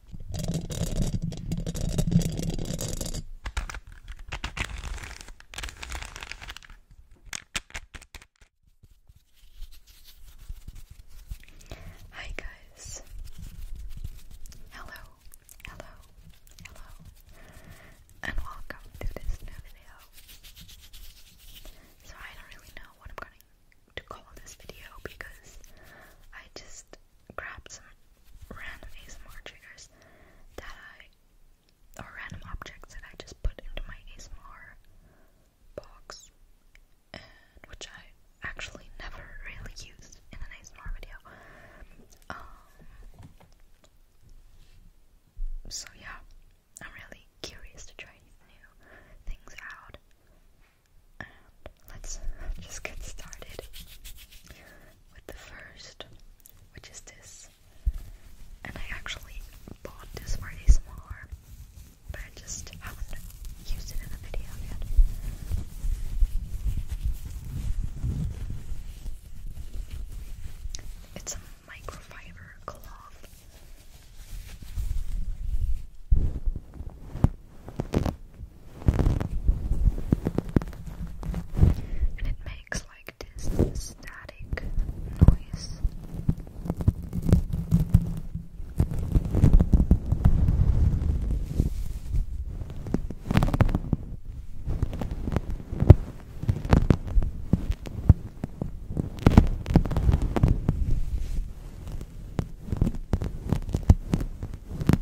Hi guys. Hello, hello, hello, and welcome to this new video. So I don't really know what I'm going to call this video because I just grabbed some random ASMR triggers that I, or random objects that I just put into my ASMR box, which I actually never really used in an ASMR video. Um, so yeah, I'm really curious to try new things out let's just get started with the first, which is this. And I actually bought this for a but I just haven't used it in a video yet. It's a microfiber cloth and it makes like this static noise.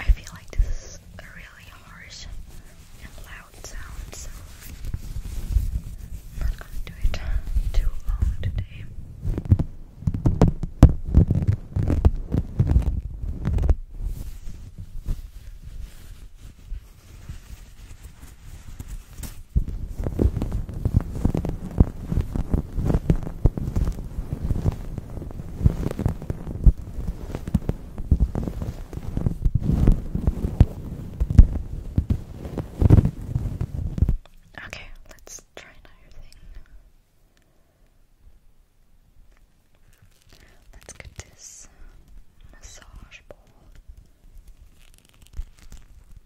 I feel like this is a really harsh and loud sound, not gonna do it too long today. Okay, let's try another thing. Let's get this massage ball.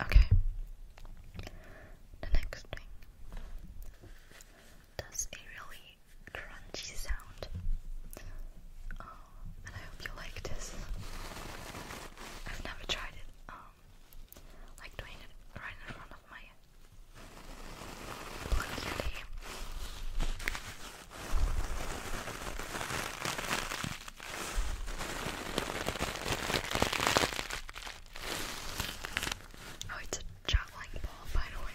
Okay. The next thing does a really crunchy sound. Oh, and I hope you like this. I've never tried it, um, like doing it right in front of my Oh, it's a juggling ball, by the way.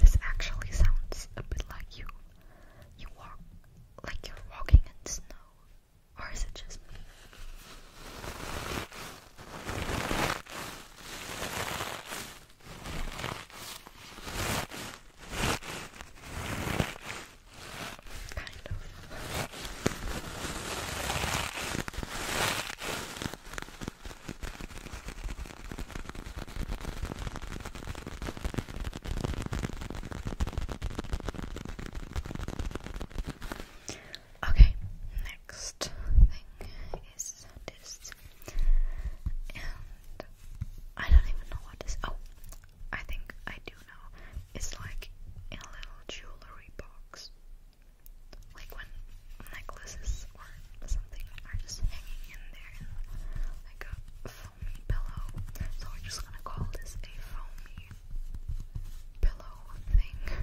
This actually sounds a bit like you you walk like you're walking in snow or is it just me? Kind of. Okay, next thing is this, and I don't even know what this. Oh, I think I do know. It's like a little jewelry box, like when necklaces or something are just hanging in there, like a foamy pillow. So we're just gonna call this a foamy pillow thing,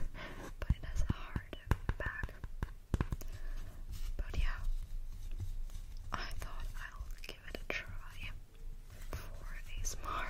but it has a hard back. But yeah, I thought I'll give it a try for ASMR. Hello,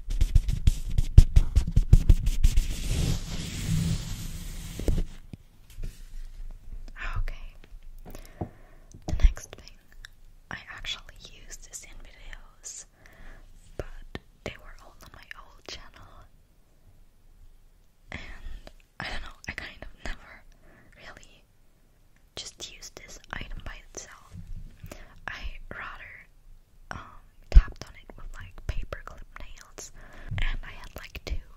Okay. The next thing, I actually used this in videos, but they were all on my old channel. And I don't know, I kind of never really just used this item by itself. I rather um, tapped on it with like paperclip nails, and I had like two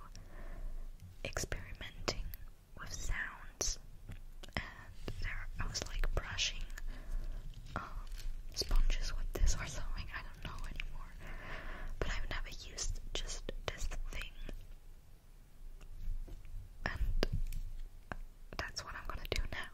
experimenting with sounds, and there I was like brushing um, sponges with this or something. I don't know anymore, but I've never used just this thing, and that's what I'm gonna do now.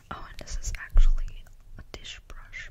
Oh, and this is actually a dish brush.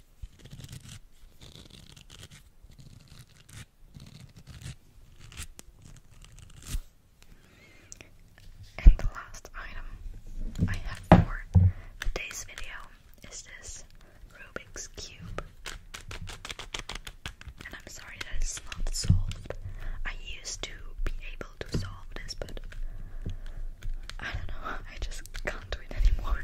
And the last item I have for today's video is this Rubik's Cube. And I'm sorry that it's not solved. I used to be able to solve this, but I don't know, I just can't do it anymore.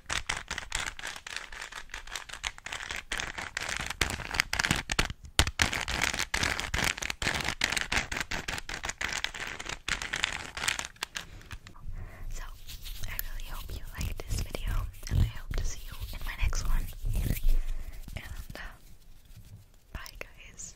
So, I really hope you liked this video, and I hope to see you in my next one. And, uh, bye, guys.